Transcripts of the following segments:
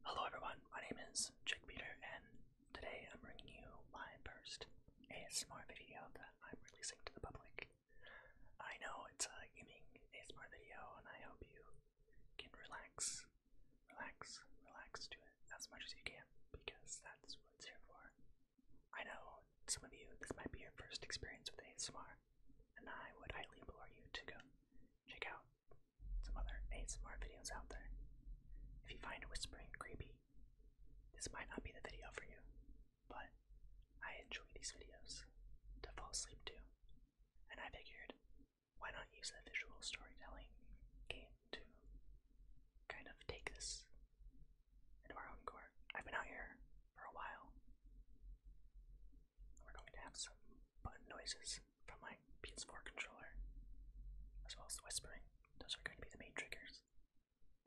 Hello everyone, my name is Jake Peter and today I'm bringing you my first ASMR video that I'm releasing to the public. I know it's a gaming ASMR video and I hope you can relax, relax, relax to it as much as you can because that's what it's here for. I know some of you, this might be your first experience with ASMR and I would highly implore you to go check out some other ASMR videos out there. If you find whispering creepy, this might not be the video for you, but I enjoy these videos to fall asleep to, and I figured why not use the visual storytelling game to kind of take this into our own core? I've been out here for a while. We're going to have some button noises from my PS4 controller, as well as the whispering. Those are going to be the main triggers.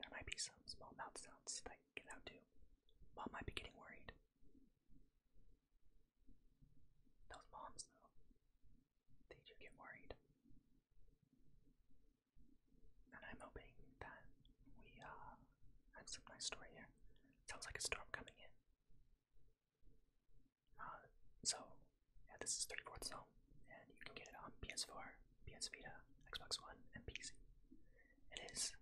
There might be some small mouth sounds that get out to. Mom might be getting worried. Those moms, though, they do get worried. And I'm hoping that we uh, have some nice story here. Sounds like a storm coming in so, yeah, this is 34th Zone, and you can get it on PS4, PS Vita, Xbox One, and PC. It is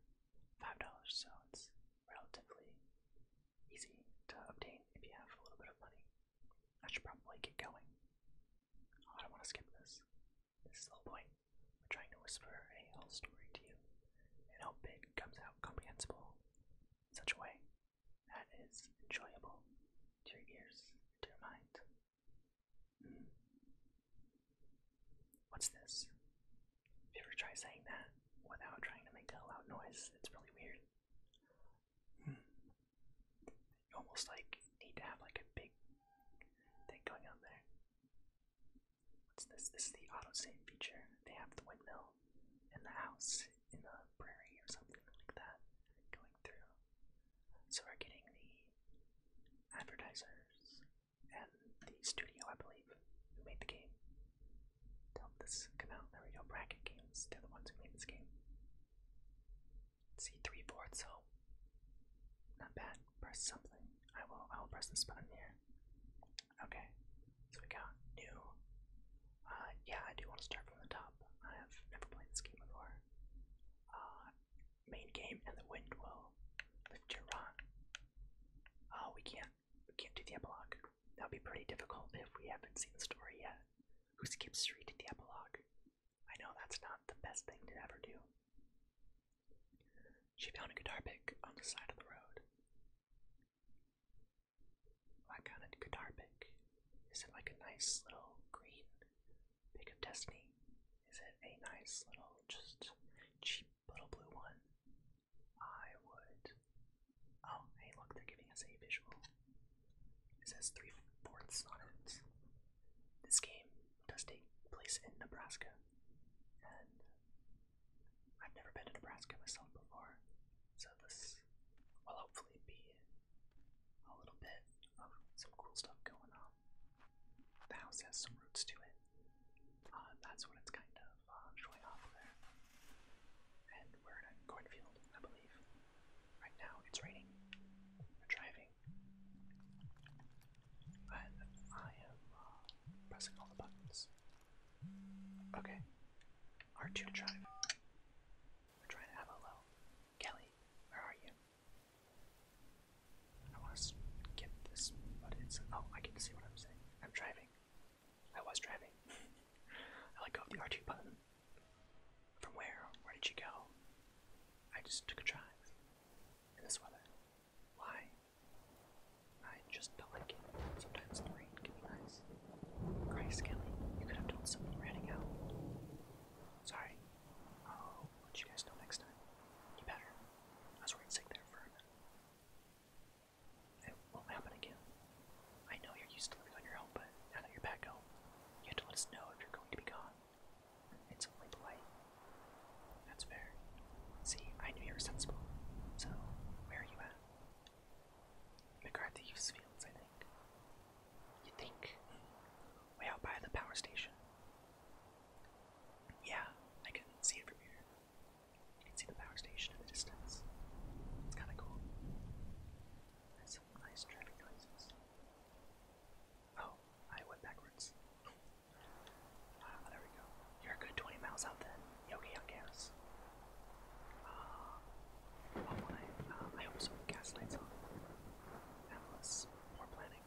$5, so it's relatively easy to obtain if you have a little bit of money. I should probably get going. Oh, I don't want to skip this. This is the whole point. We're trying to whisper a whole story to you and how it comes out comprehensible in such a way that is enjoyable to your ears, to your mind. Hmm. What's this? If you ever try saying that without trying to make a loud noise, it's really weird. Hmm. You almost like need to have like a big thing going on there. What's this? This is the auto save feature. They have the windmill in the house in the prairie or something like that going through. So we're getting the advertisers and the studio, I believe, who made the game to this come There we go, Bracket Games, they're the ones who made this game. See three boards, so not bad. Press something. I will I will press this button here. Okay, so we got new. Uh, yeah, I do want to start from the top. I have never played this game before. Uh, main game and the wind will lift your rock. Oh, we can't. We can't do the epilogue. That'd be pretty difficult if we haven't seen the story yet. Who skips straight to the epilogue? I know that's not the best thing to ever do. She found a guitar pick on the side of the road. That kind of guitar pick. Is it like a nice little green pick of destiny? Is it a nice little, just cheap little blue one? I would. Oh, hey, look, they're giving us a visual. It says three fourths on it. This game does take place in Nebraska, and I've never been to Nebraska myself before. So this will hopefully be a little bit of some cool stuff going on. The house has some roots to it. Uh, that's what it's kind of uh, showing off there. And we're in a cornfield, I believe. Right now it's raining. We're driving. And I am uh, pressing all the buttons. Okay, R2 to drive. We're trying to have a low. Kelly, where are you? I want to skip this, but it's. Oh, I can see what I'm saying. I'm driving. I was driving. I let go of the R2 button. From where? Where did you go? I just took a drive. In this weather. Why? I just don't like it. Sometimes the rain can be nice. Christ, Kelly, you could have told someone you out. Sorry. i let you guys know next time. You better. I was worried sick there for a minute. It won't happen again. I know you're used to living on your own, but now that you're back home, you have to let us know if you're going to be gone. It's only polite. That's fair. See, I knew you were sensible. So, where are you at? McCarthy Youth Fields, I think. You think? Way out by the power station. Yeah, I can see it from here. You can see the power station in the distance. It's kind of cool. There's nice traffic noises. Oh, I went backwards. Ah, there we go. You're a good 20 miles out then. Yogi gas. Uh, oh, I, uh, I hope some on. That was poor planning.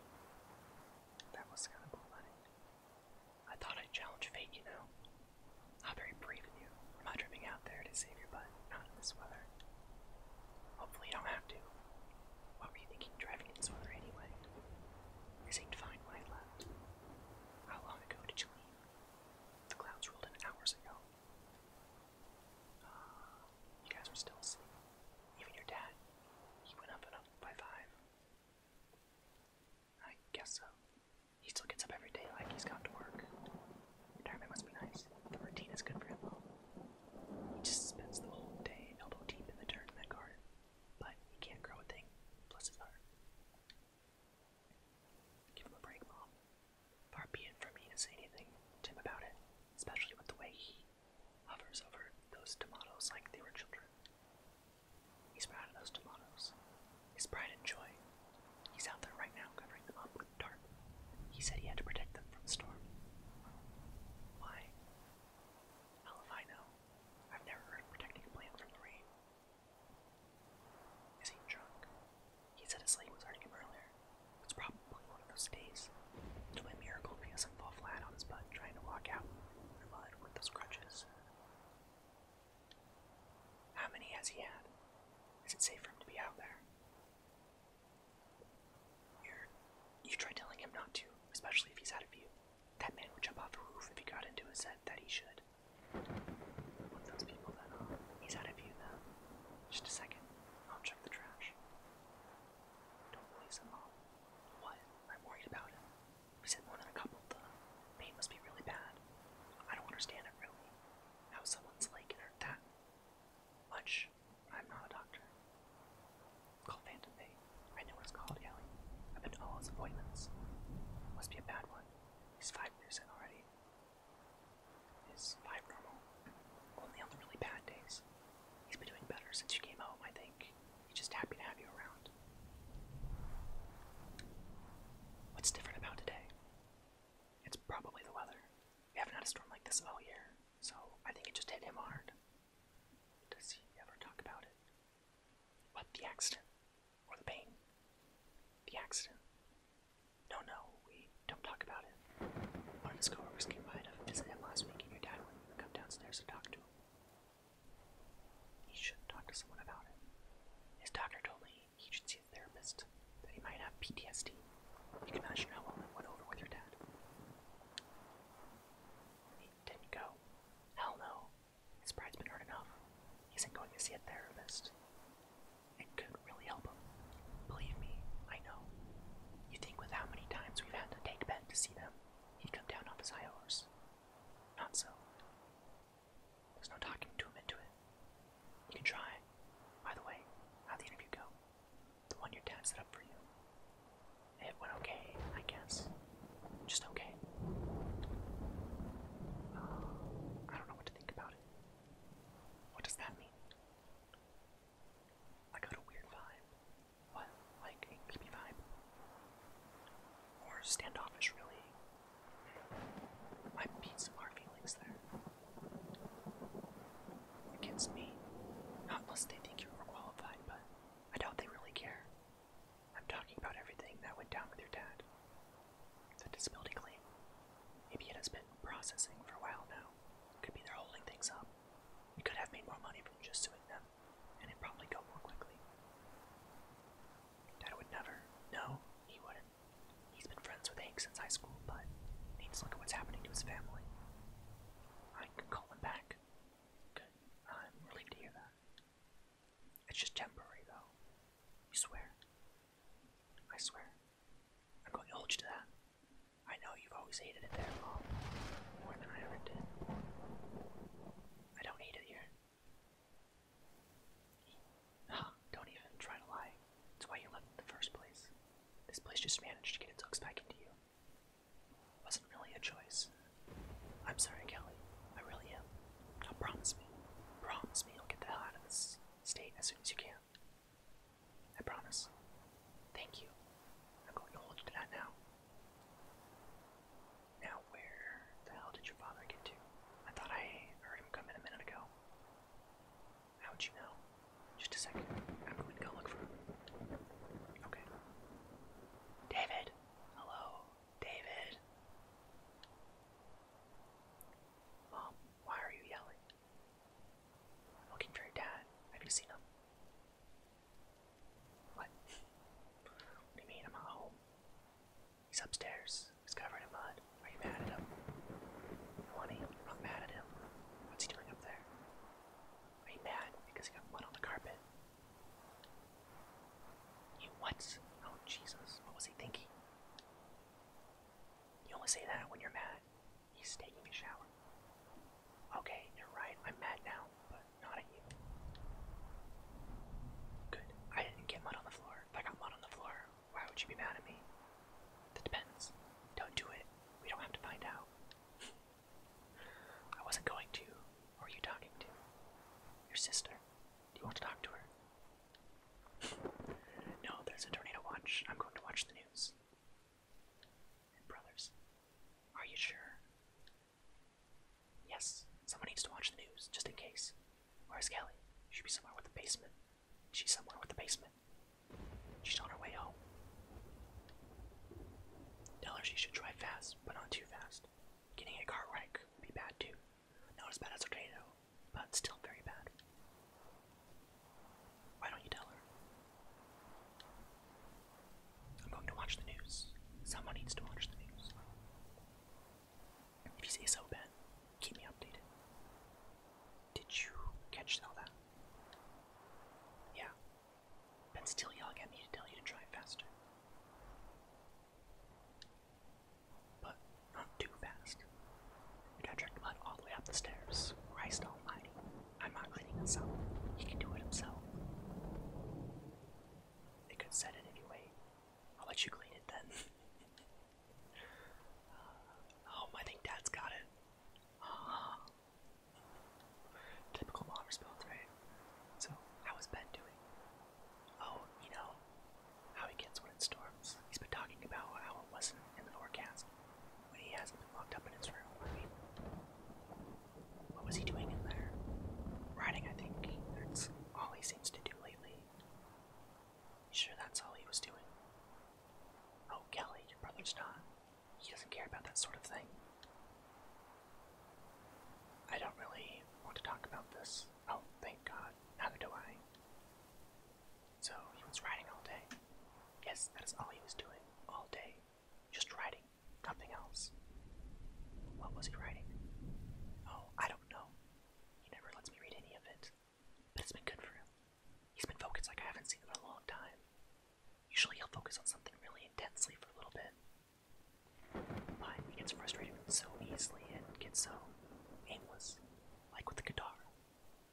That was kind of poor planning. I thought I'd challenge fate, you know. How very brave of you. I'm not driving out there to save your butt, not in this weather. Hopefully you don't have to. What were you thinking driving in this weather anyway? You seemed fine when I left. How long ago did you leave? The clouds rolled in hours ago you guys were still asleep. Even your dad. He went up and up by five. I guess so. He still gets up every day like he's to work. Retirement must be nice. The routine is good for him He just spends the whole day elbow deep in the dirt in that garden. But he can't grow a thing. Bless his heart. Give him a break, Mom. Far be for me to say anything to about it, especially with the way he hovers over those tomatoes like they were children. He's proud of those tomatoes. His pride and joy. He's out there right now covering them up with tarp. He said he had to protect them from the storm. Why? Hell if I know. I've never protecting a from the rain. Is he drunk? He said his leg was hurting earlier. It's probably one of those days. it a miracle if he doesn't fall flat on his butt trying to walk out in the mud with those crutches. How many has he had? Is it safe for him to be out there? You're, you try telling him not to, especially if he's out of view. That man would jump off a roof if he got into his head that he should. One those people that, he's out of view now. Just a second. I'll check the trash. Don't release him, Mom. What? I'm worried about him. We said more than a couple. The pain must be really bad. I don't understand it, really. How someone's leg can that much. I'm not a doctor. Call Phantom Bay. I know what called, Ellie. I've been to all his appointments. Must be a bad one. He's five percent already is five normal. Only on the really bad days. He's been doing better since you came home, I think. He's just happy to have you around. What's different about today? It's probably the weather. We haven't had a storm like this all year, so I think it just hit him hard. Does he ever talk about it? What, the accident? or the pain, the accident. No, no, we don't talk about it. One of his coworkers came by to visit him last week, and your dad would come downstairs to talk to him. He should talk to someone about it. His doctor told me he should see a therapist, that he might have PTSD. You can imagine how well it went over with your dad. He didn't go. Hell no. His pride's been hurt enough. He isn't going to see a therapist. It could really help him. Believe me, I know. You think with how many times we've had to take Ben to see them, he'd come down off his high horse. Not so. There's no talking to him into it. You can try. By the way, how'd the interview go? The one your dad set up for you. It went okay, I guess. Just okay. Uh, I don't know what to think about it. What does that mean? I got a weird vibe. What? Like a creepy vibe? Or standoffish, really? I beat some hard feelings there. Against me. Not unless they think you're overqualified, but I doubt they really care. I'm talking about everything that went down with your dad the disability claim. Maybe it has been processing for a while now. Could be they're holding things up. We could have made more money from just suing them, and it'd probably go more quickly. Dad would never. No, he wouldn't. He's been friends with Hank since high school, but he needs to look at what's happening to his family. I can call him back. Good. I'm relieved to hear that. It's just temporary, though. You swear? I swear. I'm going to hold you to that. I know you've always hated it there, Mom. More than I ever did. I don't hate it here. don't even try to lie. It's why you left in the first place. This place just managed to get its hooks back into you. wasn't really a choice. I'm sorry, Kelly. I really am. promise me. Promise me you'll get the hell out of this Stay as soon as you can. I promise. Thank you. I'm going to hold you to that now. Now, where the hell did your father get to? I thought I heard him come in a minute ago. How'd you know? Just a second. I'm going to go look for him. Okay. David! Hello, David. Mom, why are you yelling? I'm looking for your dad. Have you seen him? What? What do you mean? I'm at home. He's upstairs. He's covered in mud. Are you mad at him? I I'm not mad at him. What's he doing up there? Are you mad because he got mud on the carpet? You what? Oh Jesus! What was he thinking? You only say that when you're mad. He's taking a shower. Okay, you're right. I'm mad now, but not at you. Good. I didn't get mud on the floor. If I got mud on the floor, why would you be mad at me? That depends. Don't do it. We don't have to find out. I wasn't going to. Who are you talking to? Your sister. Do you want to talk to her? No, there's a tornado watch. I'm going to watch the news. brothers, are you sure? Yes, someone needs to watch the news, just in case. Where's Kelly? She should be somewhere with the basement. She's somewhere with the basement. She's on her way home. Tell her she should drive fast, but not too fast. Getting a car wreck would be bad too. Not as bad as okay though, but still very bad. Why don't you tell her? I'm going to watch the news. Someone needs to watch the news. If you say so, Ben, keep me updated. Did you catch all that? Yeah. Ben's still yelling at me to tell you to drive faster but not too fast. And I dragged Mud all the way up the stairs. Christ almighty. I'm not cleaning this up. He can do it himself. They could set it anyway. I'll let you clean it then. Uh, oh, I think Dad's got it. typical mom response, right? So, how Ben doing? Oh, you know, how he gets when it storms. He's been talking about how it wasn't in the forecast when he hasn't been locked up in his room. I mean, what was he doing in there? Writing, I think. That's all he seems to do lately. Sure, that's all he was doing. Oh, Kelly, your brother's not. He doesn't care about that sort of thing. I don't really want to talk about this. Oh, thank God. Neither do I. So he was riding all day. Yes, that is all he was doing all day. Just riding, nothing else. What was he riding? Oh, I don't know. He never lets me read any of it. But it's been good for him. He's been focused like I haven't seen him in a long time. Usually he'll focus on something really intensely for a little bit. But he gets frustrated so easily and gets so aimless, like with the guitar.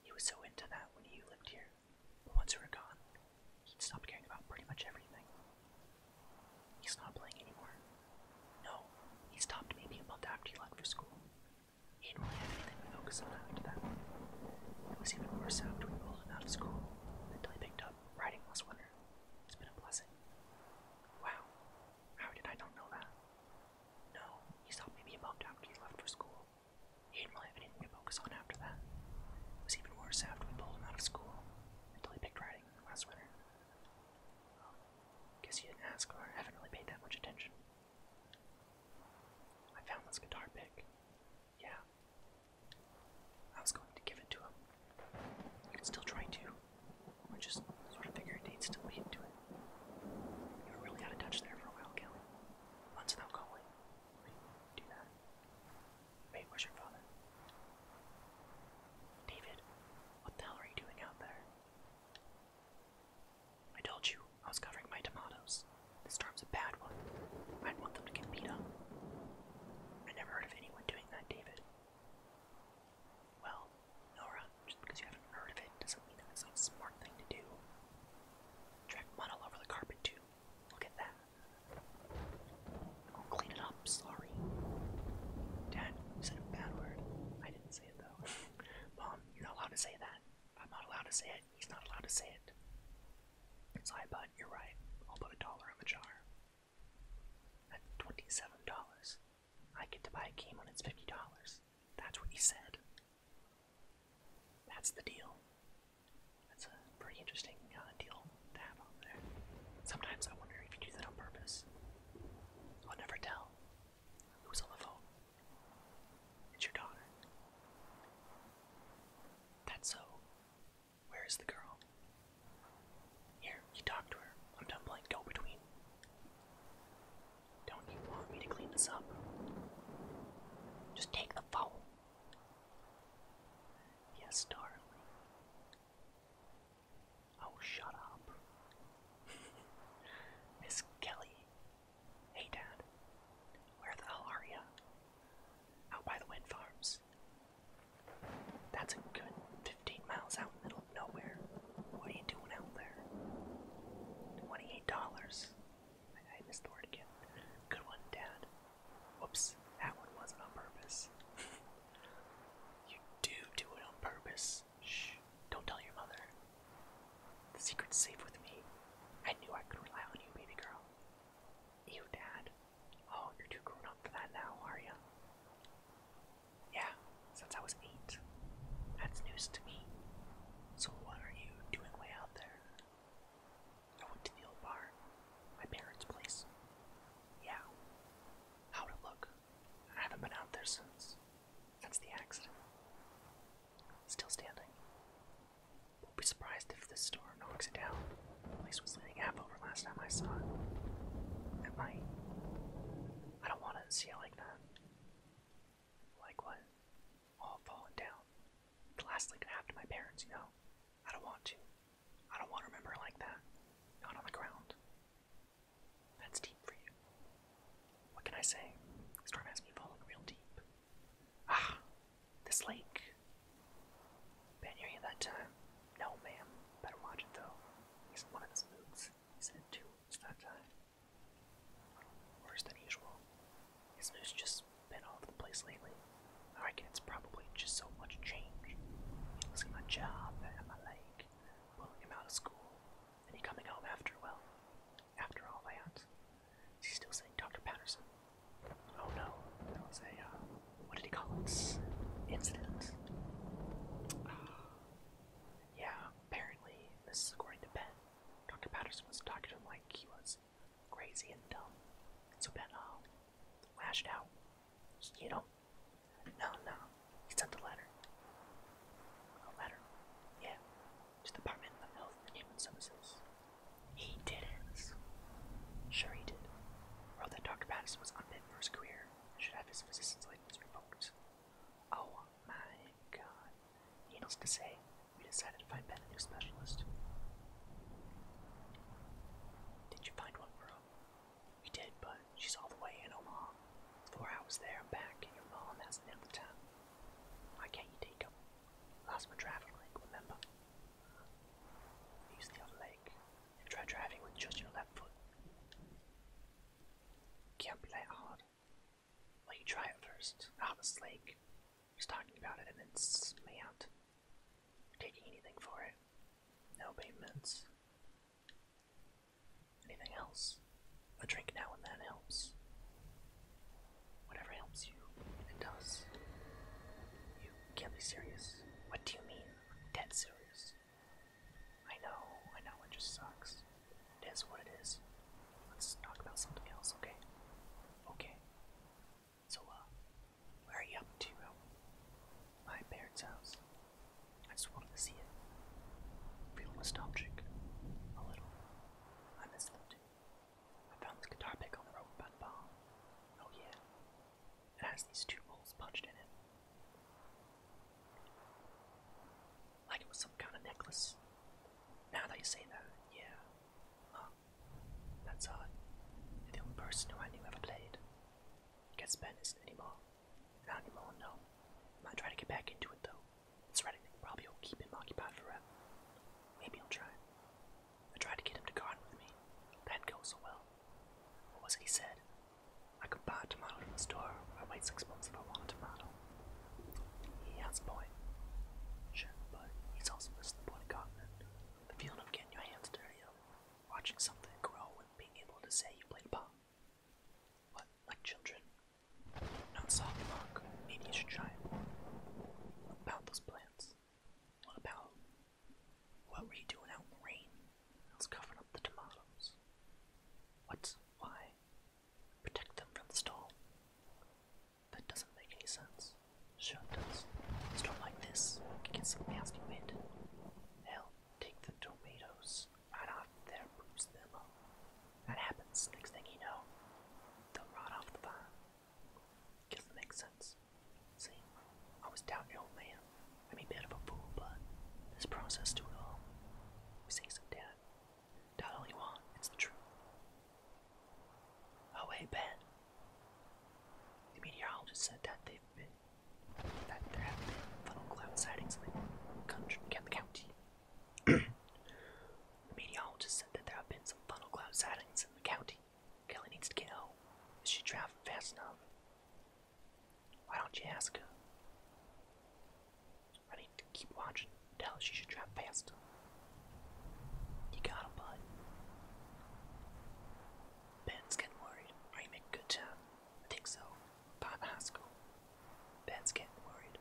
He was so into that when he lived here, but once we were gone, he stopped caring about pretty much everything. He's not playing anymore. No, he stopped maybe a month after he left for school. He didn't really have anything to focus on after that. It was even worse after we pulled him out of school until he picked up riding last winter. It's been a blessing. Wow, how did I not know that? No, he saw Baby about after he left for school. He didn't really have anything to focus on after that. It was even worse after we pulled him out of school, until he picked riding last winter. Um, guess you didn't ask, or I haven't really paid that much attention. I found this guitar pick. Yeah. I was going to give it to him. I could still try to. I just sort of figured he'd still be into it. You really out of touch there for a while, Kelly. Months without calling. do that. Wait, where's your father? David, what the hell are you doing out there? I told you I was covering my tomatoes. This storm's a bad one. I would want them to get beat up. I never heard of anyone doing that, David. Well, Nora, just because you haven't heard of it doesn't mean it's not a smart thing to do. Drag mud all over the carpet, too. Look at that. i clean it up, sorry. Dad, you said a bad word. I didn't say it, though. Mom, you're not allowed to say that. I'm not allowed to say it. He's not allowed to say it. Sorry, bud, you're right. I'll put a dollar in the jar. That's $27. I get to buy a game when it's $50. That's what he said. That's the deal. That's a pretty interesting uh, deal to have on there. Sometimes I wonder if you do that on purpose. I'll never tell. Who's on the phone? It's your daughter. That's so. Where is the girl? Here, you talk to her. I'm done playing go between. Don't you want me to clean this up? Just take the phone. Yes, darling. Oh, shut up. Miss Kelly. Hey, Dad. Where the hell are you? Out by the wind farms. That's a good 15 miles out in the middle nowhere. What are you doing out there? Twenty-eight dollars. I, I missed the word again. Good one, Dad. Whoops, that one wasn't on purpose. you do do it on purpose. Shh. Don't tell your mother. The secret's safe with me. I knew I could rely on you, baby girl. You, Dad. Oh, you're too grown up for that now, are you? Yeah, since I was eight. That's news to me. So, what are you doing way out there? I went to the old bar, my parents' place. Yeah. How'd it look? I haven't been out there since. Since the accident. Still standing. will be surprised if this store knocks it down. The place was leaning half over last time I saw it. It might. I don't want to see it like that. Like what? All fallen down. The last thing could have to my parents, you know? I don't want to. I don't want to remember like that. Not on the ground. That's deep for you. What can I say? Storm has me falling real deep. Ah, this lake. Been here that time? Uh, no, ma'am. Better watch it though. He's one of his moods. He's in two moods that time. Uh, Worse than usual. His news just been all over the place lately. I reckon it's probably just so much change. losing my job my leg, pulling out of school, and he coming home after, well, after all that. Is he still saying Dr. Patterson? Oh no, that was a, uh, what did he call it? Incident. yeah, apparently, this is according to Ben. Dr. Patterson was talking to him like he was crazy and dumb. So Ben uh, lashed out. You know, no, no, he sent a letter. A letter? Yeah, to the Department of Health and Human Services. He did not Sure he did. Wrote that Dr. Patterson was unfit for his career should have his physician's license revoked. Oh my god. Needless to say, we decided to find Ben a new specialist. Did you find one for We did, but she's all the way in Omaha. Four hours there back, and your mom hasn't had the time. Why can't you take him? Lost my driving leg, remember? Use the other leg try driving with just your left foot. Can't be hard. Well, you try it first. Ah, the slake. Just talking about it, and then it's me smant. Taking anything for it. No payments. Anything else? A drink now and then helps. Whatever helps you, it does. You can't be serious. What do you mean? Dead serious. I know, I know, it just sucks. It is what it is. Let's talk about something else, okay? Okay. So, uh, where are you up to? My parents' house. I just wanted to see it. Feel nostalgic. A little. I miss them too. I found this guitar pick on the road by the bomb. Oh yeah. It has these two holes punched in it like it was some kind of necklace. Now that you say that, yeah. Huh. That's odd. The only person who I knew ever played. Gets banned isn't anymore. Not anymore, no. Might try to get back into it though. It's Reddit thing probably will keep him occupied forever. Maybe i will try. I tried to get him to garden with me. That goes so well. What was it he said? I could buy a tomato from the store. I wait six months if I want a tomato. He has a point. Sure, but he's also missing the point of continent. The feeling of getting your hands dirty, watching something grow and being able to say you played pop. What, like children? Not soft rock. Maybe you should try it about those plants? What about what were you doing out in the rain? I was covering up the tomatoes. What? Why? protect them from the storm. That doesn't make any sense. Sure it does. A storm like this can get some nasty wind. They'll take the tomatoes right off there, boost them up. That happens. Next thing you know, they'll rot off the vine. Doesn't make sense. See, I was doubting the old man. I'm a bit of a fool, but this process to it all. We say some death. Not only one, it's the truth. Oh hey Ben. The meteorologist said that they've been that there have been funnel cloud sightings in the country the meteorologist said that there have been some funnel cloud sightings in the county. Kelly needs to get home. Is she traveling fast enough? Why don't you ask her? I to keep watching. Tell her she should drive faster. You got bud. Ben's getting worried. Are you making good time? think so. By the Ben's getting worried.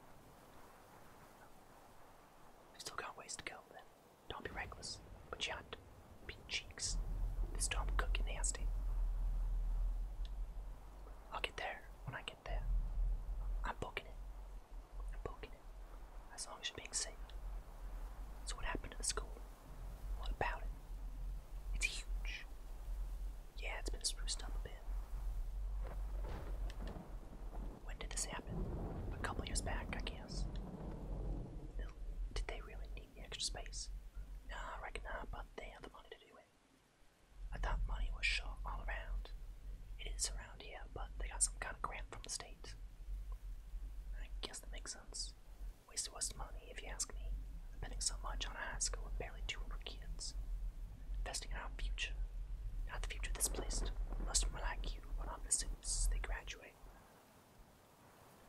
We still got ways to go, then. Don't be reckless, but you ought to be cheeks. This storm cooking nasty. I'll get there when I there. I'm poking it. I'm poking it. As long as you're being safe. So what happened to the school? What about it? It's huge. Yeah, it's been spruced up a bit. When did this happen? A couple years back, I guess. Did they really need the extra space? Nah, I reckon not, but they have the money to do it. I thought money was short all around. It is around here, but they got some kind of grant from the state. I guess that makes sense. Waste was money, if you ask me. Spending so much on a high school with barely 200 kids. Investing in our future. Not the future this place. Most of them are like you, put on the suits, they graduate.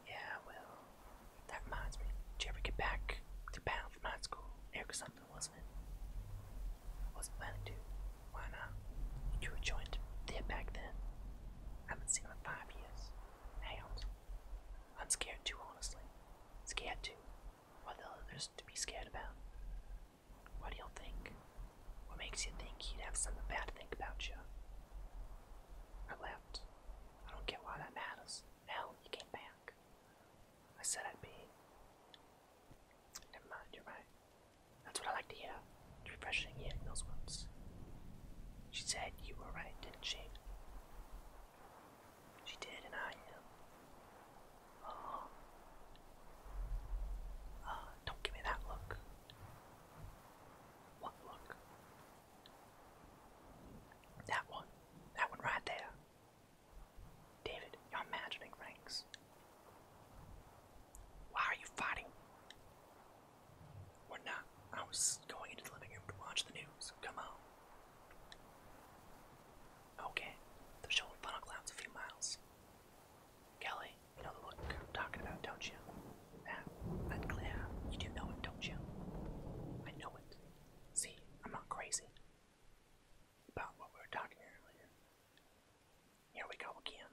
Yeah, well, that reminds me. Did you ever get back to Bound from high school? Eric or something? I wasn't. I wasn't planning to. Why not? You were joined there back then. I haven't seen him in five years. Hound. I'm scared too, honestly. Scared too. What the hell there's to be scared about? What do you think? What makes you think he'd have something bad to think about you? I left. I don't care why that matters. Hell, you came back. I said I'd be. Never mind, you're right. That's what I like to hear. It's refreshing hearing those words. She said you were right, didn't she? She did, and I am. Oh. don't give me that look. What look? That one. That one right there. David, you're imagining things. Why are you fighting? We're not. I was going into the living room to watch the news. Come on. Okay, they're showing funnel clouds a few miles. Kelly, you know the look I'm talking about, don't you? That, that you do know it, don't you? I know it. See, I'm not crazy about what we were talking earlier. Here we go again.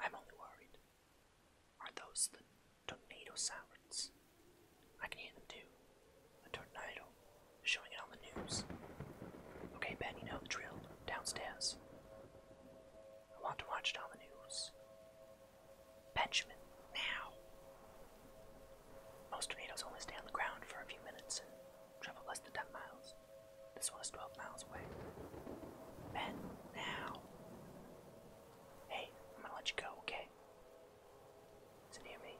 I'm only worried. Are those the tornado sirens? I can hear them too. A tornado. Showing it on the news. Okay, Ben, you know the drill. Downstairs. I want to watch it on the news. Benjamin, now! Most tornadoes only stay on the ground for a few minutes and travel less than 10 miles. This one is 12 miles away. Ben, now. Hey, I'm gonna let you go, okay? Is near me?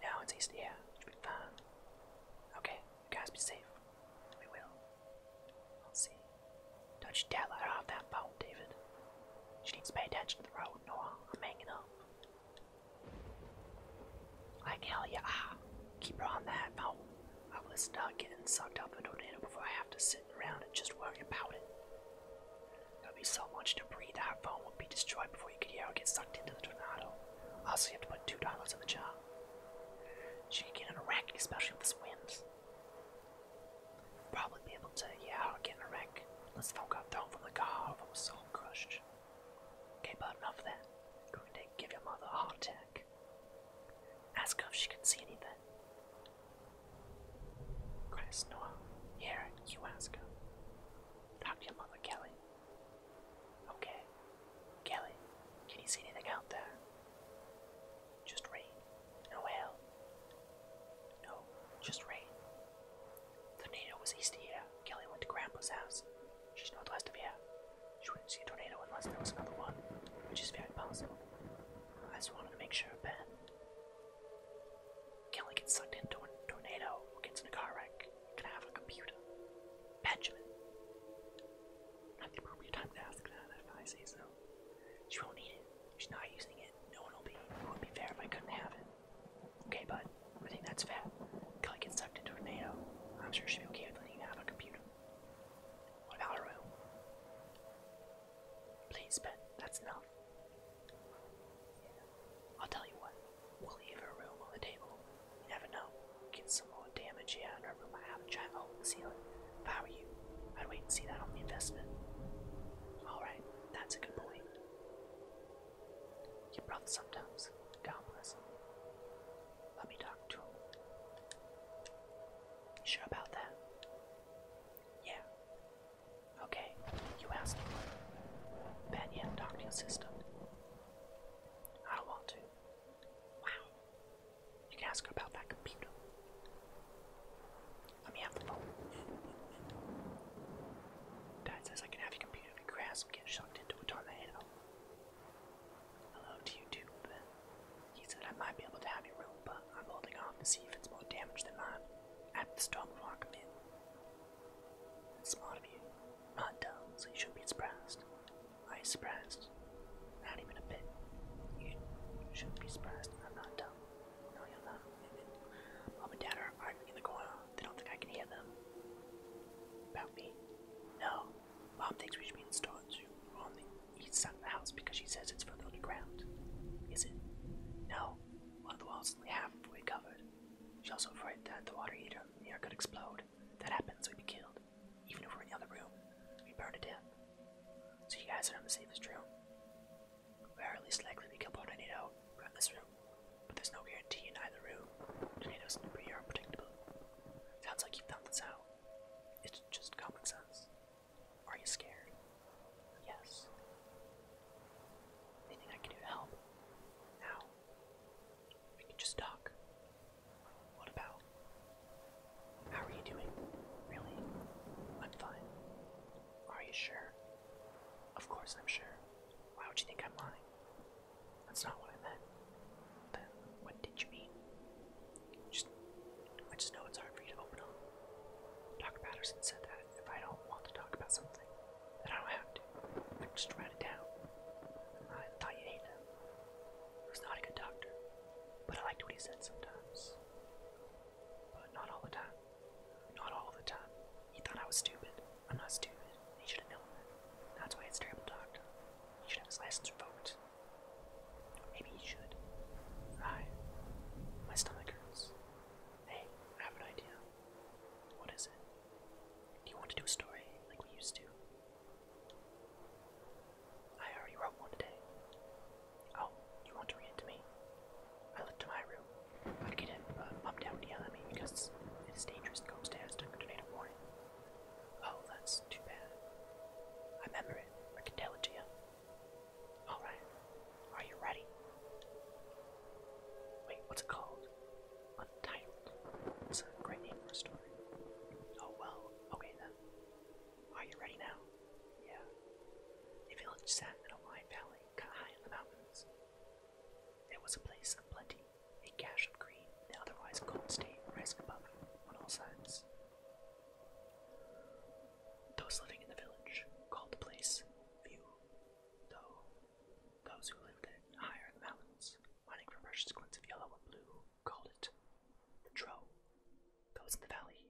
No, it's east. Yeah, should be fine. Okay, guys be safe. We will. Let's see. Don't you dare let her off that boat, David. She needs to pay attention to the road, Noah. I'm hanging up. Like tell yeah. Ah, keep her on that. phone. Oh, I will start getting sucked up in a tornado before I have to sit around and just worry about it. There'll be so much debris that our phone will be destroyed before you could hear her get sucked into the tornado. Also, you have to put two dollars in the jar. She can get in a wreck, especially with this wind. Probably be able to, yeah, i get in a wreck. let phone got thrown from the car, from a soul crushed. Okay, but enough of that. You're going to give your mother a heart attack. Ask her if she can see anything. Chris, Noah, here, you ask her. Talk to your mother, Kelly. Okay. Kelly, can you see anything out there? Just rain. No hail. No, just rain. The tornado was east of here. Kelly went to Grandpa's house. She's northwest of here. She wouldn't see a tornado unless there was another one, which is very possible. I just wanted to make sure of Ben. Kelly gets sucked into a tornado or gets in a car wreck. Can I have a computer? Benjamin. Not the appropriate time to ask that if I say She won't need it. She's not using it. No one will be. It would be fair if I couldn't have it. Okay, bud. I think that's fair. Kelly gets sucked into a tornado. I'm sure she'll be okay with letting you have a computer. What about her room? Please, Ben, that's enough. I'll tell you what, we'll leave her room on the table. You never know. Get some more damage here in her room might have a giant hole hold the ceiling. If I were you, I'd wait and see that on the investment. Alright, that's a good point. Your brother sometimes. Come, listen. Let me talk to him. You sure about that? Yeah. Okay, you asked me. Bet you have to your sister. I don't want to. Wow. You can ask her about that computer. Let me have the phone. Dad says I can have your computer you to grasp get shoved into a tornado. Hello to you He said I might be able to have your room, but I'm holding off to see if it's more damage than mine. After the storm will rock in. smart of you. Not dumb, so you shouldn't be surprised. Are you surprised? Not even a bit. You shouldn't be surprised. I'm not dumb. No, you're not. Mom and Dad are arguing in the corner. They don't think I can hear them. About me? No. Mom thinks we should be in storage room on the east the house because she says it's further underground. Is it? No. One of the walls is only halfway covered. She's also afraid that the water heater near could explode. If that happens, we'd be killed. Even if we're in the other room, we'd burn to death. So you guys are in the safest room. We're at least likely to be killed in this room. There's no guarantee in either room, and it unpredictable. Sounds like you found this out. It's just common sense. Are you scared? Yes. Anything I can do to help? Now. We can just talk. What about? How are you doing? Really? I'm fine. Are you sure? Of course I'm sure. Why would you think I'm lying? That's not what I meant. Then what did you mean? Just, I just know it's hard for you to open up. Doctor Patterson said that if I don't want to talk about something, then I don't have to. I can just write it down. I thought you hated him. He was not a good doctor, but I liked what he said sometimes. But not all the time. Not all the time. He thought I was stupid. I'm not stupid. He should have known that. That's why it's terrible doctor. He should have his license revoked. Maybe he should. I. My stomach hurts. Hey, I have an idea. What is it? Do you want to do a story like we used to? I already wrote one today. Oh, you want to read it to me? I looked to my room. I'd get up, down, yell at me because it is dangerous go upstairs to tornado warning. Oh, that's too bad. I remember it. I can tell it to you. Alright. Are you ready? Wait, what's it called? Untitled. It's a great name for a story. Oh well, okay then. Are you ready now? Yeah. A village sat in a wide valley, cut high in the mountains. There was a place of plenty, a cache of green, the otherwise cold state rising above on all sides. Those living in the village called the place few, though those who lived in higher in the mountains, mining for precious glints of yellow and blue, called it the Drow. Those in the valley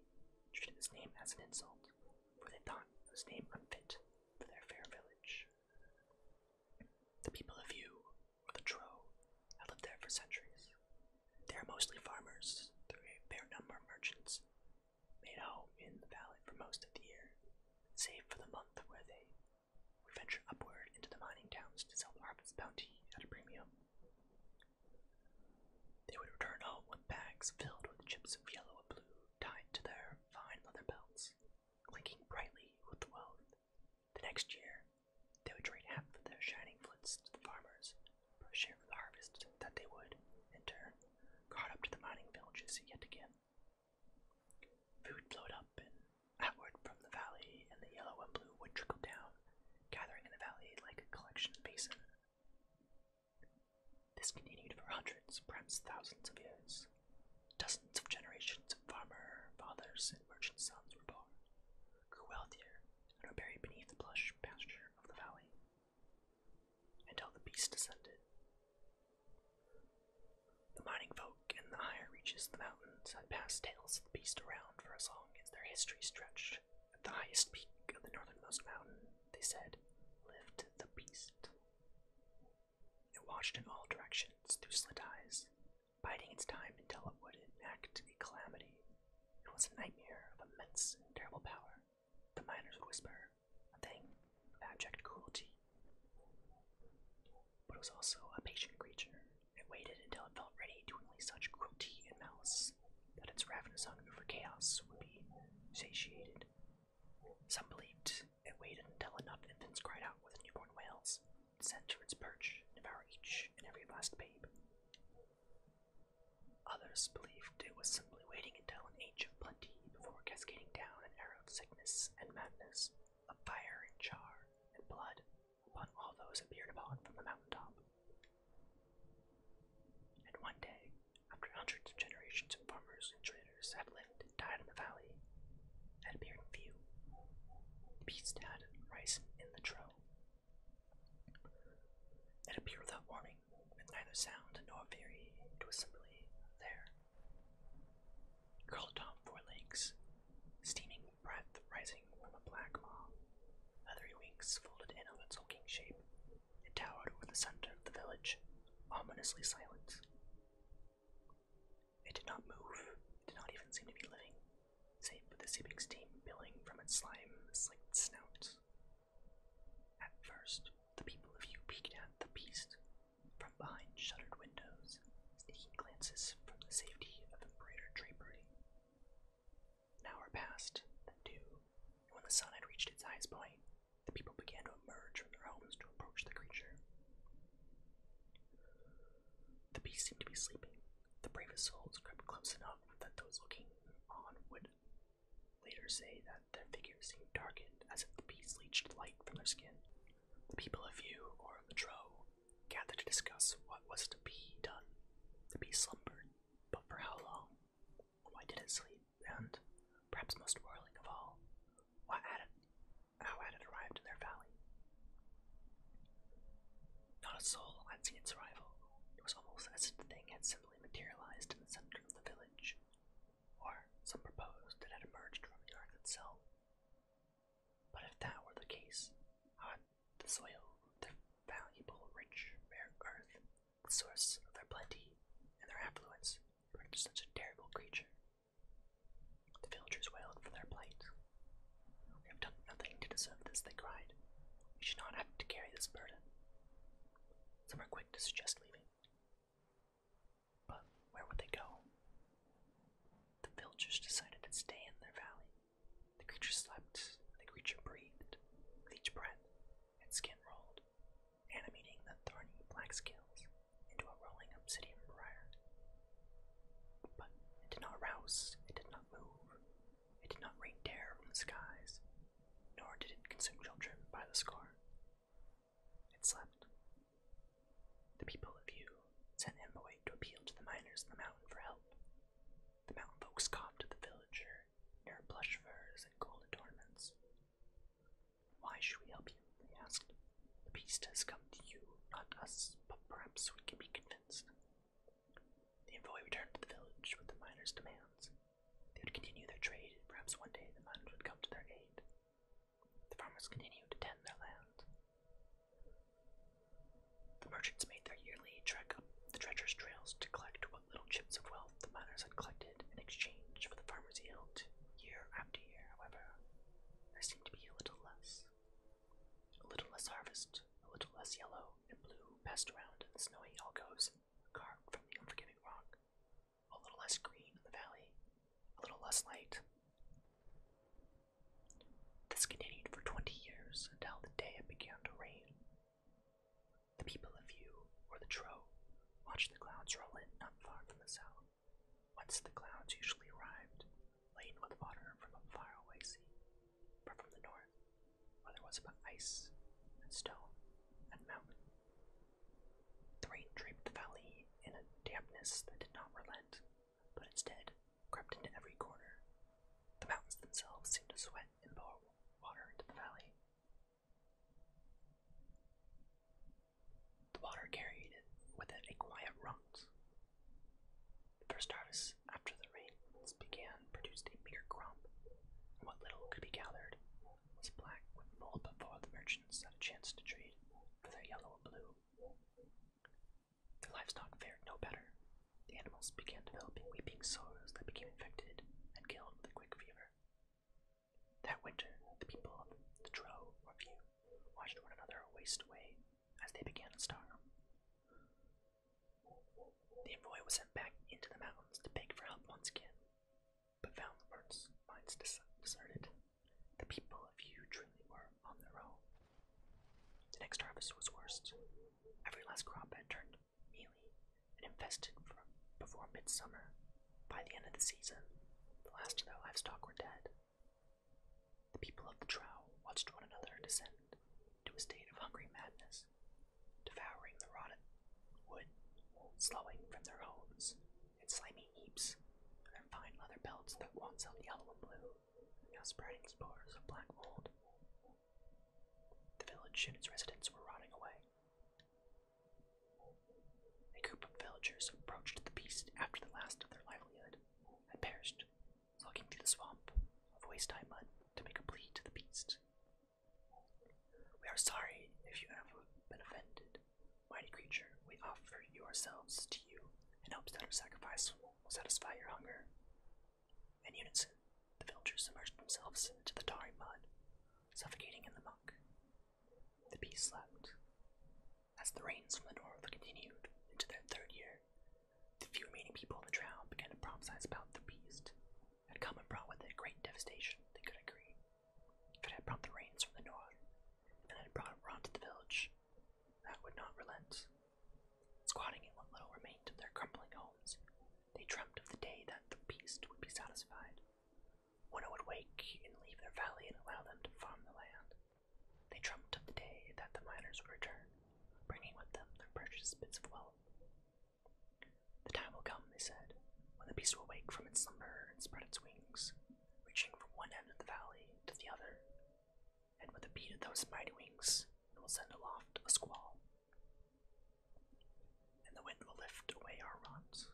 treated this name as an insult, for they thought it was name unfit for their fair village. The people of you, or the Tro, have lived there for centuries. They are mostly farmers, are a fair number of merchants, made home in the valley for most of the year, save for the month where they would venture upward into the mining towns to sell the harvest bounty at a premium. They would return home with bags filled with chips of yellow and blue tied to their fine leather belts, clinking brightly with wealth. The next year, they would trade half of their shining flints to the farmers for a share of the harvest that they would, in turn, caught up to the mining villages yet again. Food flowed up and outward from the valley, and the yellow and blue would trickle down, gathering in the valley like a collection basin. This continued for hundreds, perhaps thousands of years. Dozens of generations of farmer fathers and merchant sons were born, grew wealthier, and were buried beneath the plush pasture of the valley. Until the beast descended. The mining folk in the higher reaches of the mountains had passed tales of the beast around for as long as their history stretched. At the highest peak of the northernmost mountain, they said, "Lift the beast. It watched in all directions through slit eyes, biding its time until it would enact a calamity. It was a nightmare of immense and terrible power. The miners would whisper, a thing of abject cruelty. But it was also a patient creature. It waited until it felt ready to unleash such cruelty and malice that its ravenous hunger for chaos would be satiated. Some believed it waited until enough infants cried out with newborn wails, sent to its perch, devour each and every last babe. Others believed it was simply waiting until an age of plenty before cascading down an arrow of sickness and madness, of fire and char and blood upon all those it peered upon from the mountaintop. And one day, after hundreds of generations of farmers and traders, predators have lived and died in the valley, at appeared few. Beasts had risen in the trough. It appeared without warning, with neither sound nor fury, to assemble there. Curled on forelegs, steaming breath rising from a black maw, leathery wings folded in on its hulking shape, it towered over the center of the village, ominously silent. It did not move. did not even seem to be living, save for the seeping steam billowing from its slime-slicked snout. At first, the people of you peeked at the beast from behind shuttered windows, sneaking glances from the safety of embroidered drapery. An hour passed, then two, and when the sun had reached its highest point, the people began to emerge from their homes to approach the creature. The beast seemed to be sleeping. The bravest souls crept close enough that those looking on would later say that their figures seemed darkened as if the beast leached light from their skin. The people of View, or of Latro, gathered to discuss what was to be done. The beast slumbered, but for how long? Why did it sleep? And, perhaps most worrying of all, why had it how had it arrived in their valley. Not a soul had seen its arrival. It was almost as if the thing had simply materialized in the center of the village, or some proposed it had emerged from the earth itself. But if that were the case, how had the soil, the valuable, rich, rare earth, the source of their plenty and their affluence, produced such a terrible creature the villagers wailed for their plight. We have done nothing to deserve this, they cried. We should not have to carry this burden. Some were quick to suggest leaving. But where would they go? The villagers decided to stay in their valley. The creature slept, the creature breathed with each breath, and skin rolled, animating the thorny black scales into a rolling obsidian briar. But it did not rouse, it did not move, it did not rain terror from the skies, nor did it consume children by the score. It slept. The people of Yu sent Amboy to appeal to the miners of the mountain for help. The mountain folks scoffed at the villager, their plush furs and gold adornments, why should we help you? They asked. The beast has come to you, not us, but perhaps we can be convinced. The envoy returned to the village with the miners' demands. They would continue their trade, perhaps one day the miners would come to their aid. The farmers continued to tend their land. The merchants made their yearly trek up the treacherous trails to collect what little chips of wealth the miners had collected in exchange for the farmers' yield. Year after year, however, there seemed to be a little less. A little less harvest, a little less yellow and blue passed around the snowy alcoves carved from the unforgiving rock, a little less green in the valley, a little less light. This continued for twenty years until the day it began to rain. The people of you, or the Tro, watched the clouds roll in not far from the south. Once the clouds usually arrived, laden with water from a faraway sea, but from the north, where there was but ice and stone and mountain. The rain draped the valley in a dampness that did not relent, but instead crept into every corner. The mountains themselves seemed to sweat and pour water into the valley. The water carried with it a quiet runt. The first harvest after the rains began produced a meager crop, and what little could be gathered was black with mold before the merchants had a chance to trade for their yellow and blue. The livestock fared no better. The animals began developing weeping sores that became infected and killed with a quick fever. That winter, the people of the Drow or View watched one another waste away as they began to starve. The envoy was sent back into the mountains to beg for help once again, but found the words mines deserted. The people of you truly were on their own. The next harvest was worst. Every last crop had turned mealy and infested before midsummer by the end of the season, the last of their livestock were dead. The people of the Drow watched one another descend to a state of hungry madness, devouring the rotten wood, slowing from their homes in slimy heaps, their fine leather belts that once held yellow and blue, now spreading spores of black mold. The village and its residents were rotting away, a group of villagers approached the beast after the last of their livelihood had perished, slogging through the swamp of waist-high mud to make a plea to the beast. We are sorry if you have been offended. Mighty creature, we offer you ourselves to you in hopes that our sacrifice will satisfy your hunger. And unison, the villagers submerged themselves into the tarry mud, suffocating in the muck. The beast slept, as the rains from the north continued into their third year, the few remaining people in the town began to prophesy about the beast that had come and brought with it great devastation, they could agree. If it had brought the rains from the north, and had brought Ron to the village, that would not relent. Squatting in what little remained of their crumbling homes, they dreamt of the day that the beast would be satisfied. When it would wake and leave their valley and allow them to farm the land, they dreamt of the day that the miners would return, bringing with them their precious bits of wealth. The time will come, they said, when the beast will wake from its slumber and spread its wings, reaching from one end of the valley to the other, and with a beat of those mighty wings, will send aloft a squall. And the wind will lift away our rods,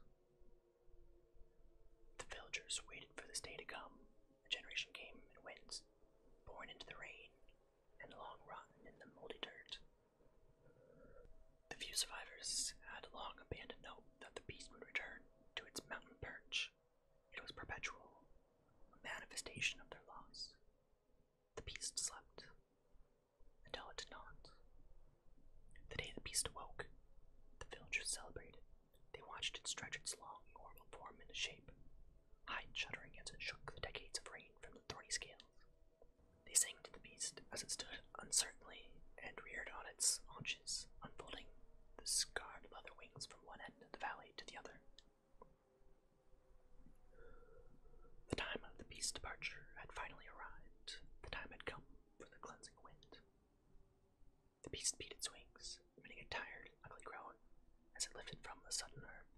the villagers waited for this day to come. A generation came and went, born into the rain and long run in the moldy dirt. The few survivors had long abandoned hope that the beast would return to its mountain perch. It was perpetual, a manifestation of their loss. The beast slept until it did not. The day the beast awoke, the villagers celebrated. They watched it stretch its long, normal form into shape, and shuddering as it shook the decades of rain from the thorny scales. They sang to the beast as it stood uncertainly and reared on its haunches, unfolding the scarred leather wings from one end of the valley to the other. The time of the beast's departure had finally arrived. The time had come for the cleansing wind. The beast beat its wings, emitting a tired, ugly groan as it lifted from the sudden earth.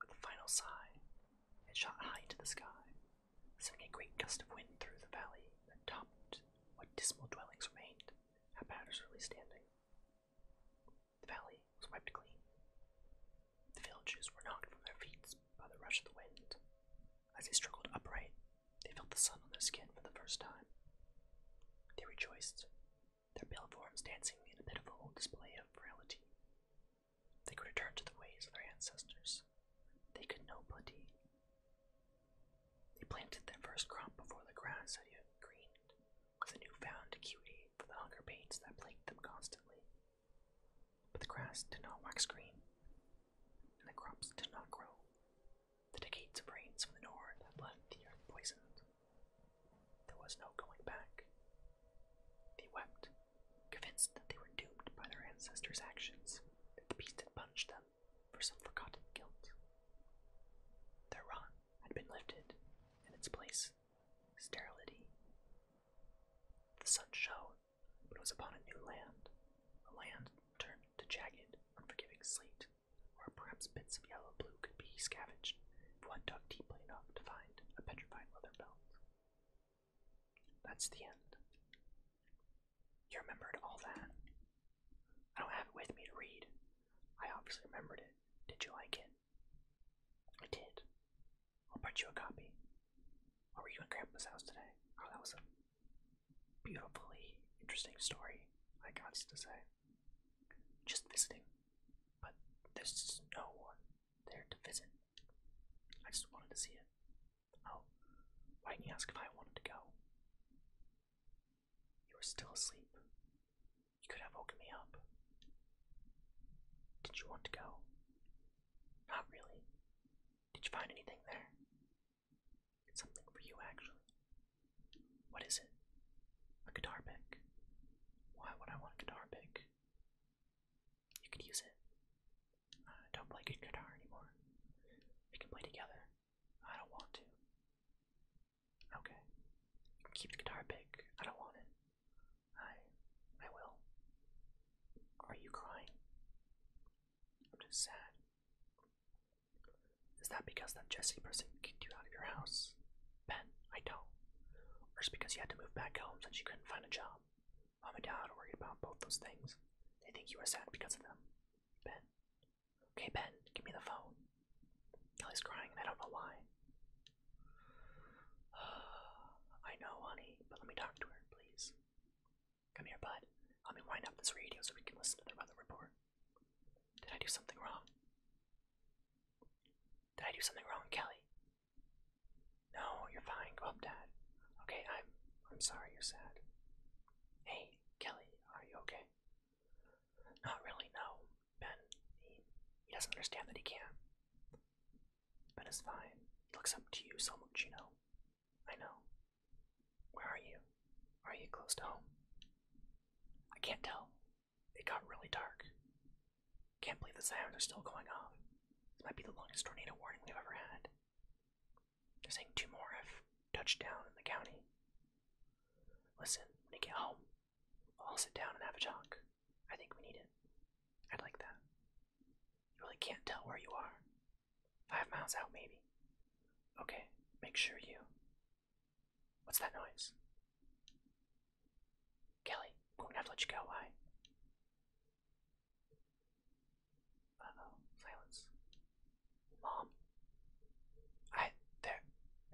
With a final sigh, it shot high into the sky, sending a great gust of wind through the valley that toppled what dismal dwellings remained, how really standing. The valley was wiped clean. The villagers were knocked from their feet by the rush of the wind, as they struggled upright, they felt the sun on their skin for the first time. They rejoiced, their pale forms dancing in a pitiful display of frailty. They could return to the ways of their ancestors. They could know plenty. They planted their first crop before the grass had yet greened, with a newfound acuity for the hunger pains that plagued them constantly. But the grass did not wax green, and the crops did not grow. The decades of rains from the north had left the earth poisoned. There was no going back. They wept, convinced that they were doomed by their ancestors' actions, that the beast had punished them for some forgotten guilt. Their rot had been lifted, in its place, sterility. The sun showed but was upon a new land, a land turned to jagged, unforgiving slate, where perhaps bits of yellow blue could be scavenged if one dug deeply enough to find a petrified leather belt. That's the end. You remembered all that. I don't have it with me to read. I obviously remembered it. Did you like it? I did. I'll print you a copy. were you in Grandpa's house today? Oh, beautifully interesting story, I got to say. Just visiting, but there's no one there to visit. I just wanted to see it. Oh, why didn't you ask if I wanted to go? You were still asleep. You could have woken me up. Did you want to go? Not really. Did you find anything there? Something for you, actually. What is it? A guitar pick. Why would I want a guitar pick? You could use it. I don't play good guitar anymore. We can play together. I don't want to. Okay. Keep the guitar pick. I don't want it. I I will. Are you crying? I'm just sad. Is that because that Jesse person kicked you out of your house? Ben, I don't. Or just because you had to move back home since you couldn't find a job? Mom and Dad are worried about both those things. They think you were sad because of them. Ben. Okay, Ben, give me the phone. Kelly's crying and I don't know why. I know, honey, but let me talk to her, please. Come here, bud. Let me wind up this radio so we can listen to the weather report. Did I do something wrong? Did I do something wrong, Kelly? No, you're fine. Go up, Dad. Okay, I'm. I'm sorry you're sad. Hey, Kelly, are you okay? Not really. No, Ben. He, he doesn't understand that he can't. Ben is fine. He looks up to you so much, you know. I know. Where are you? Are you close to home? I can't tell. It got really dark. Can't believe the sirens are still going off. This might be the longest tornado warning we've ever had. They're saying two more have touched down in the county. Listen, when you get home, we'll all sit down and have a talk. I think we need it. I'd like that. You really can't tell where you are. Five miles out, maybe. Okay, make sure you. What's that noise? Kelly, I'm going to have to let you go. Bye. Uh silence. Mom? I. There.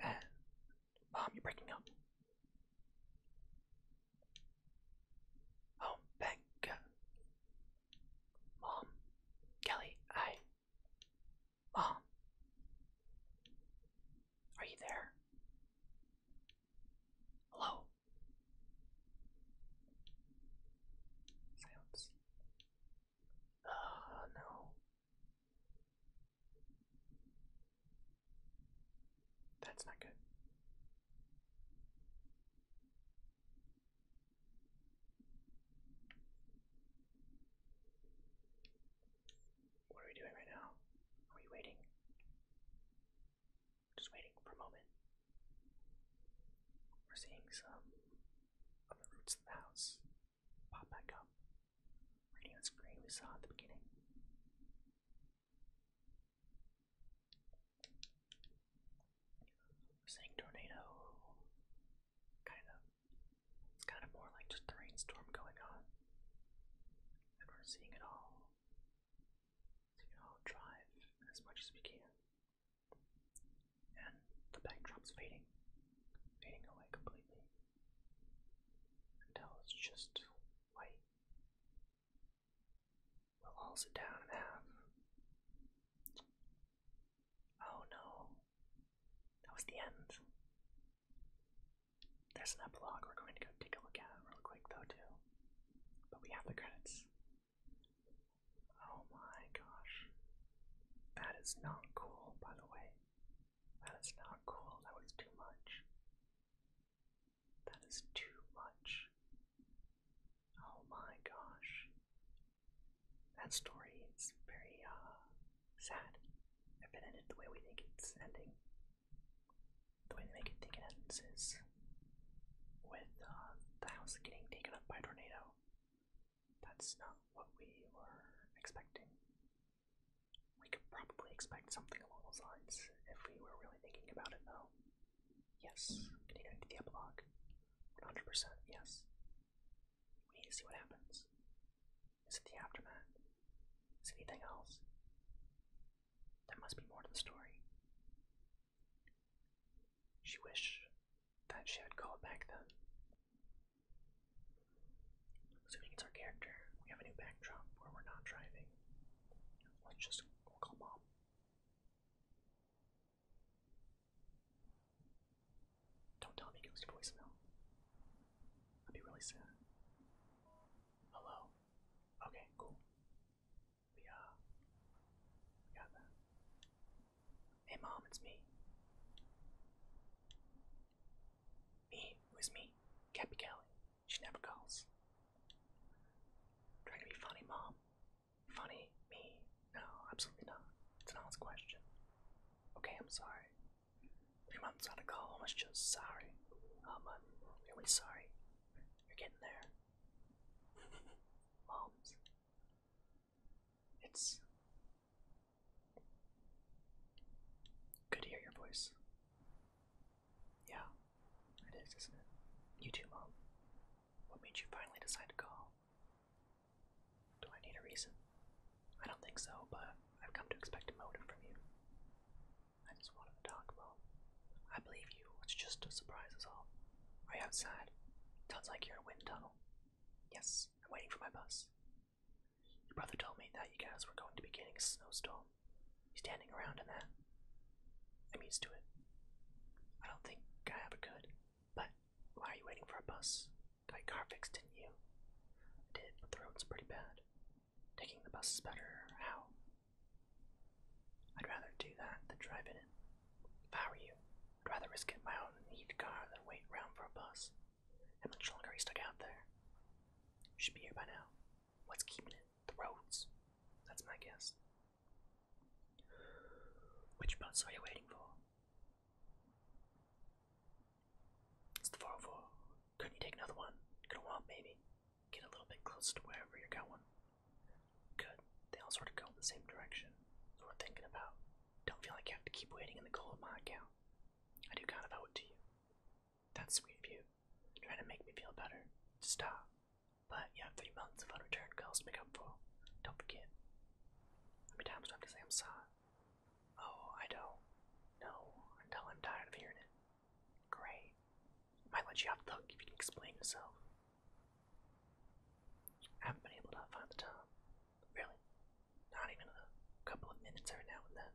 Uh, Mom, you're breaking up. Oh, Becca. Mom, Kelly, I. Mom, are you there? Hello? Silence. Ah, no. That's not good. What are we doing right now? Are we waiting? Just waiting for a moment. We're seeing some of the roots of the house pop back up. Radiant green we saw at the beginning. Saying tornado, kind of. It's kind of more like just a rainstorm going on, and we're seeing it all. So you drive as much as we can, and the backdrop's fading, fading away completely until it's just white. We'll all sit down and have Oh no. That was the end. There's an epilogue we're going to go take a look at real quick though too. But we have the credits. Oh my gosh. That is not cool, by the way. That is not cool. That was too much. That is too much. Oh my gosh that story is very uh, sad. sad if been ended the way we think it's ending. The way they make it think it ends is with uh, the house getting taken up by a tornado. That's not what we were expecting. We could probably expect something along those lines if we were really thinking about it, though. Yes, continuing to the epilogue. 100%, yes. We need to see what happens. Is it the aftermath? Is it anything else? There must be more to the story. She wished that she had called back then. Assuming it's our character, we have a new backdrop where we're not driving. Let's just call mom. Don't tell me it goes to voicemail. I'd be really sad. Hello. Okay, cool. We uh got that. Hey mom, it's me. Me? Who is me? Cappy Kelly. She never calls. Trying to be funny, mom. Funny? Me? No, absolutely not. It's an honest question. Okay, I'm sorry. If your mom's not a call, I was just sorry. Oh, I'm really sorry. You're getting there. Moms. It's good to hear your voice. Yeah, it is, isn't it? You too, Mom. What made you finally decide to call? Do I need a reason? I don't think so, but I've come to expect a motive from you. I just wanted to talk about. I believe you. It's just a surprise is all. Right Are you outside? Sounds like you're in a wind tunnel. Yes, I'm waiting for my bus. Your brother told me that you guys were going to be getting a snowstorm. He's standing around in that? I'm used to it. I don't think I ever could, but why are you waiting for a bus? Got your car fixed, didn't you? I did, but the road's pretty bad. Taking the bus is better. How? I'd rather do that than drive it. If I were you, I'd rather risk it in my own neat car than wait around for a bus. How much longer are you stuck out there? should be here by now. What's keeping it? The roads. That's my guess. Which bus are you waiting for? It's the 404. Couldn't you take another one? Could a walk maybe? Get a little bit closer to wherever you're going. Good. They all sort of go in the same direction. So we're thinking about. Don't feel like you have to keep waiting in the cold my account. I do kind of owe it to you. That's sweet of you. Trying to make me feel better. Stop. But you have three months of unreturned calls to make up for. Don't forget. How many times do I have to say I'm sorry? Oh, I don't know until I'm tired of hearing it. Great. Might let you off the hook if you can explain yourself. I haven't been able to find the time. Really? Not even a couple of minutes every now and then.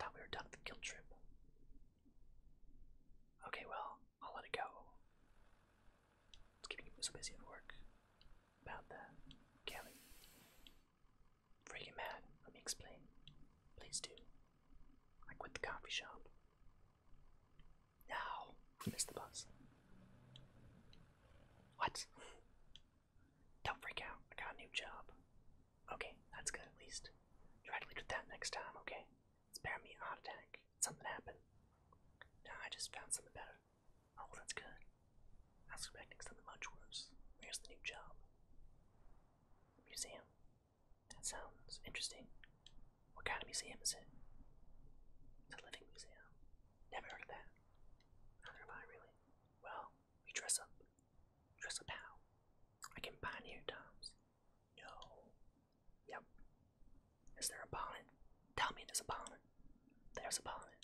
Thought we were done with guilt trip. Okay, well, I'll let it go. It's keeping me so busy at work. About that, Kelly. Freaking mad. Let me explain. Please do. I quit the coffee shop. Now, missed the bus. What? Don't freak out. I got a new job. Okay, that's good at least. Try to lead with that next time, okay? Spare me a heart attack. Something happened. No, I just found something better. Oh, that's good. I was expecting something much worse. Where's the new job? Museum. That sounds interesting. What kind of museum is it? It's a living museum. Never heard of that. Neither have I really. Well, we dress up. Dress up how? I can buy near No, Yep. Is there a bonnet? Tell me there's a bonnet. There's a bonnet.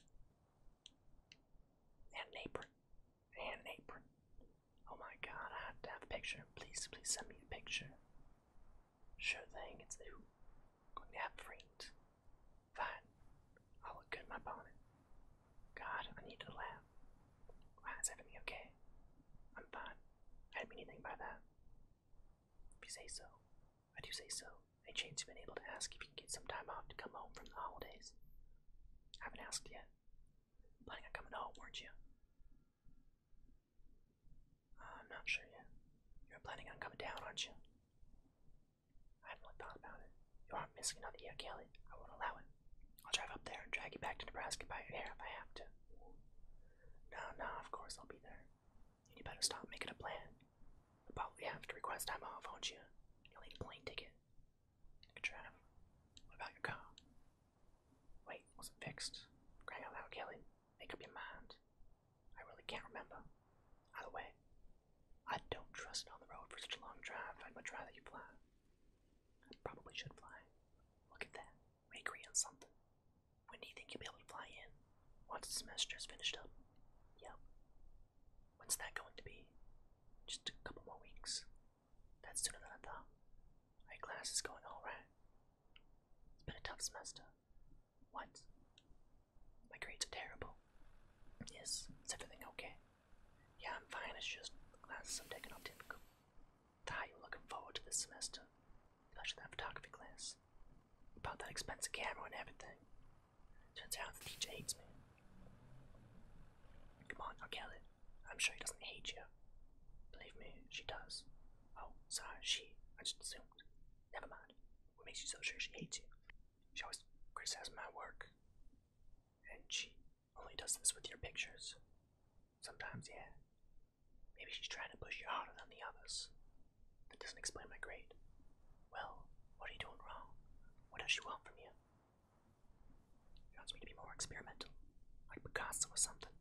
And an apron. And an apron. Oh my god, I have to have a picture. Please, please send me a picture. Sure thing, it's a Going to have Fine. i look good in my bonnet. God, I need to laugh. Why wow, okay? I'm fine. I didn't mean anything by that. If you say so. I do say so. Hey, Jane's been able to ask if you can get some time off to come home from the holidays. I haven't asked yet. Planning on coming home, weren't you? Uh, I'm not sure yet. You're planning on coming down, aren't you? I haven't thought about it. You aren't missing another year, Kelly. I won't allow it. I'll drive up there and drag you back to Nebraska by your hair if I have to. No, no, of course I'll be there you better stop making a plan. You'll probably have to request time off, won't you? You'll need a plane ticket. Good travel. What about your car? Wait, was it fixed? Crying out loud, Kelly. Make up your mind. I really can't remember. Either way, I don't trust it on the road for such a long drive. I'd much rather you fly. I probably should fly. Look at that. We agree on something. When do you think you'll be able to fly in? Once the semester is finished up. Yep. When's that going to be? Just a couple more weeks. That's sooner than I thought. My class is going alright. It's been a tough semester. What? My grades are terrible. Yes, is everything okay? Yeah, I'm fine, it's just the classes I'm taking are difficult. Ty, you looking forward to this semester? Imagine that photography class. About that expensive camera and everything. Turns out the teacher hates me. Come on, I'll get it. I'm sure he doesn't hate you. Believe me, she does. Oh, sorry, she. I just assumed. Never mind. What makes you so sure she hates you? She always criticizes my work. And she only does this with your pictures. Sometimes, yeah. Maybe she's trying to push you harder than the others. That doesn't explain my grade. Well, what are you doing wrong? What does she want from you? She wants me to be more experimental, like Picasso or something.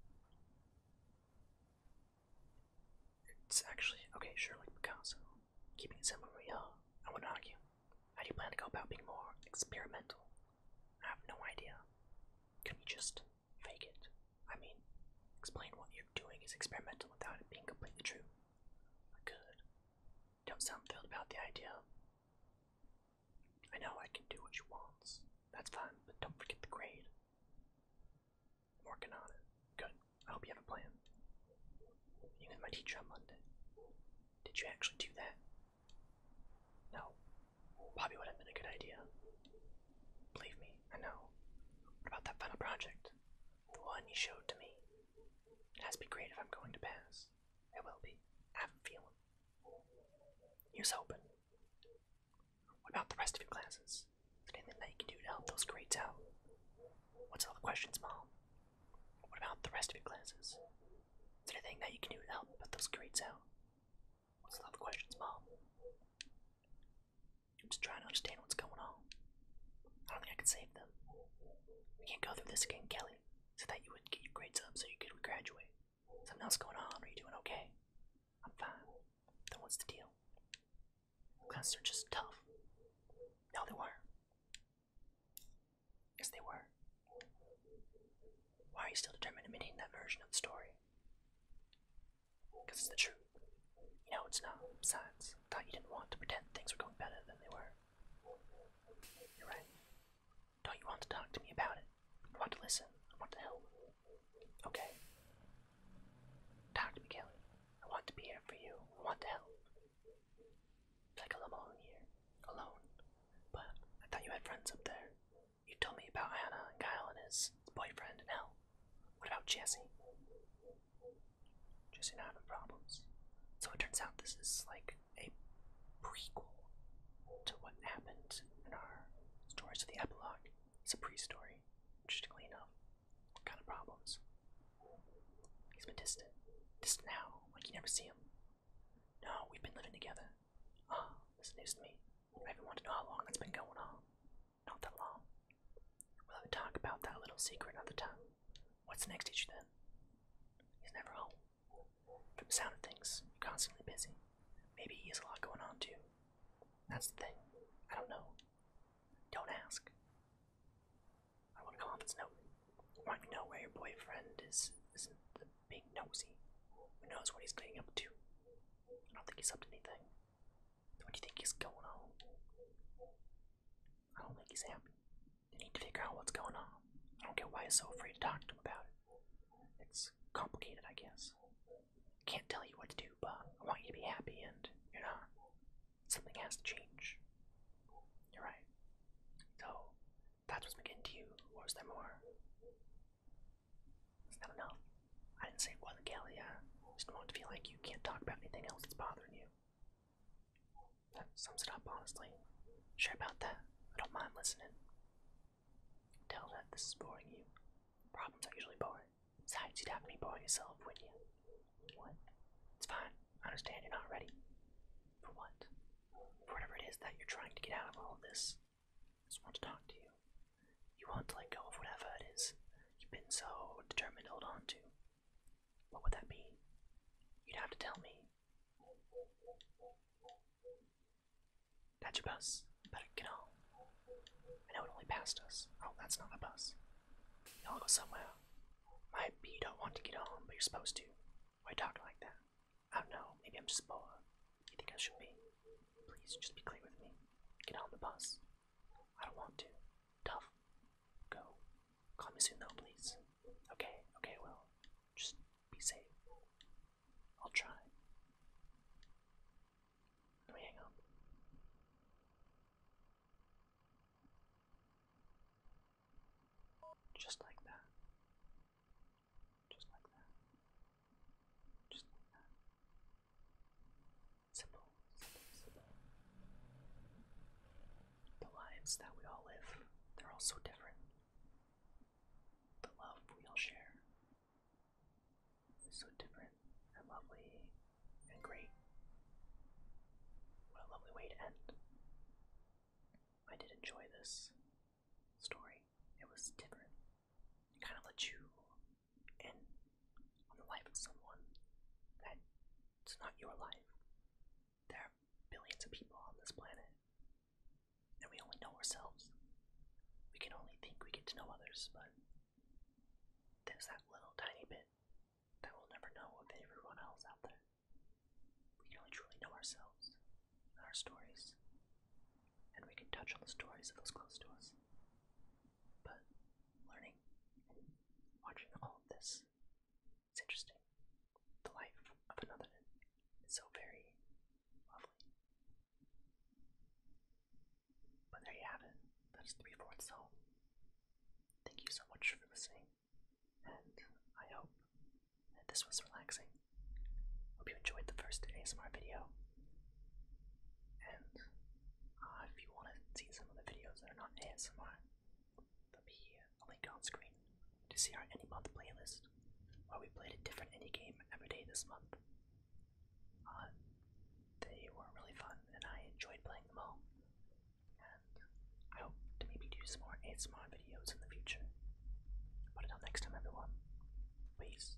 It's actually, okay, sure, like Picasso. Keeping it simple, we I wouldn't argue. How do you plan to go about being more experimental? I have no idea. Can we just fake it. I mean, explain what you're doing is experimental without it being completely true. Good. Don't sound thrilled about the idea. I know I can do what you want. That's fine, but don't forget the grade. I'm working on it. Good. I hope you have a plan. You with my teacher on Monday. Did you actually do that? No. Probably would have been a good idea. Believe me, I know. What about that final project? The one you showed to me. It has to be great if I'm going to pass. It will be. I have a feeling. Use open. What about the rest of your classes? Is there anything that you can do to help those grades out? What's all the questions, Mom? What about the rest of your classes? Is there anything that you can do to help put those grades out? What's all the questions, Mom? I'm just trying to understand what's going on. I don't think I can save them. We can't go through this again, Kelly. So that you would get your grades up so you could graduate. Something else going on? Are you doing okay? I'm fine. Then what's the deal? they are just tough. Now they were Yes, they were. Why are you still determined to maintain that version of the story? Because it's the truth. You know, it's not science. I thought you didn't want to pretend things were going better than they were. You're right. Don't you want to talk to me about it? I want to listen. I want to help. Okay. Talk to me, Kelly. I want to be here for you. I want to help. It's like I'm all here, alone. But I thought you had friends up there. You told me about Hannah and Kyle and his boyfriend and Al. What about Jesse? Jesse not having problems. So it turns out this is like a prequel to what happened in our stories of the epilogue It's a pre-story. Interestingly enough, what kind of problems? He's been distant. Distant now, like you never see him. No, we've been living together. Ah, oh, this is news to me. I have to know how long that's been going on. Not that long. We'll have a talk about that little secret another time. What's next, teacher then? He's never home. From the sound of things, you're constantly busy. Maybe he has a lot going on too. That's the thing. I don't know. Don't ask. I want a confidence note. I want to know where your boyfriend is isn't being nosy. Who knows what he's getting up to? I don't think he's up to anything. What do you think is going on? I don't think he's happy. You need to figure out what's going on. I don't care why he's so afraid to talk to him about it. It's complicated, I guess. Can't tell you what to do, but I want you to be happy, and you're not. Something has to change. You're right. So, that's what's has been getting to you, or is there more? Is that enough? I didn't say it wasn't Gallia. I just want to feel like you can't talk about anything else that's bothering you. That sums it up, honestly. Sure about that. I don't mind listening. Tell that this is boring you. Problems are usually boring. Besides, you'd have to be boring yourself, wouldn't you? What? It's fine. I understand you're not ready. For what? For whatever it is that you're trying to get out of all of this. I just want to talk to you. You want to let go of whatever it is you've been so determined to hold on to. What would that be? You'd have to tell me. That's your bus. Better get home. I know it only passed us. Oh, that's not my bus. Y'all go somewhere. Maybe be you don't want to get on, but you're supposed to. Why talk like that? I don't know. Maybe I'm just bored. You think I should be? Please, just be clear with me. Get on the bus. I don't want to. Tough. Go. Call me soon though, please. Okay, okay, well, just be safe. I'll try. Let me hang up. Just like that. Just like that. Just like that. Simple. the lives that we all live, they're all so different. The love we all share is so different and lovely and great. What a lovely way to end. I did enjoy this story. It was different. It kind of let you and on the life of someone that it's not your life. There are billions of people on this planet, and we only know ourselves. We can only think we get to know others, but there's that little tiny bit that we'll never know of everyone else out there. We can only truly know ourselves and our stories, and we can touch on the stories of those close to us. But learning watching all this. It's interesting. The life of another is so very lovely. But there you have it. That is three fourths home. Thank you so much for listening, and I hope that this was relaxing. Hope you enjoyed the first ASMR video, and uh, if you want to see some of the videos that are not ASMR, there'll be a link on screen to see our any month playlist where we played a different indie game every day this month. Uh, they were really fun and I enjoyed playing them all. And I hope to maybe do some more ASMR videos in the future. But until next time, everyone, peace.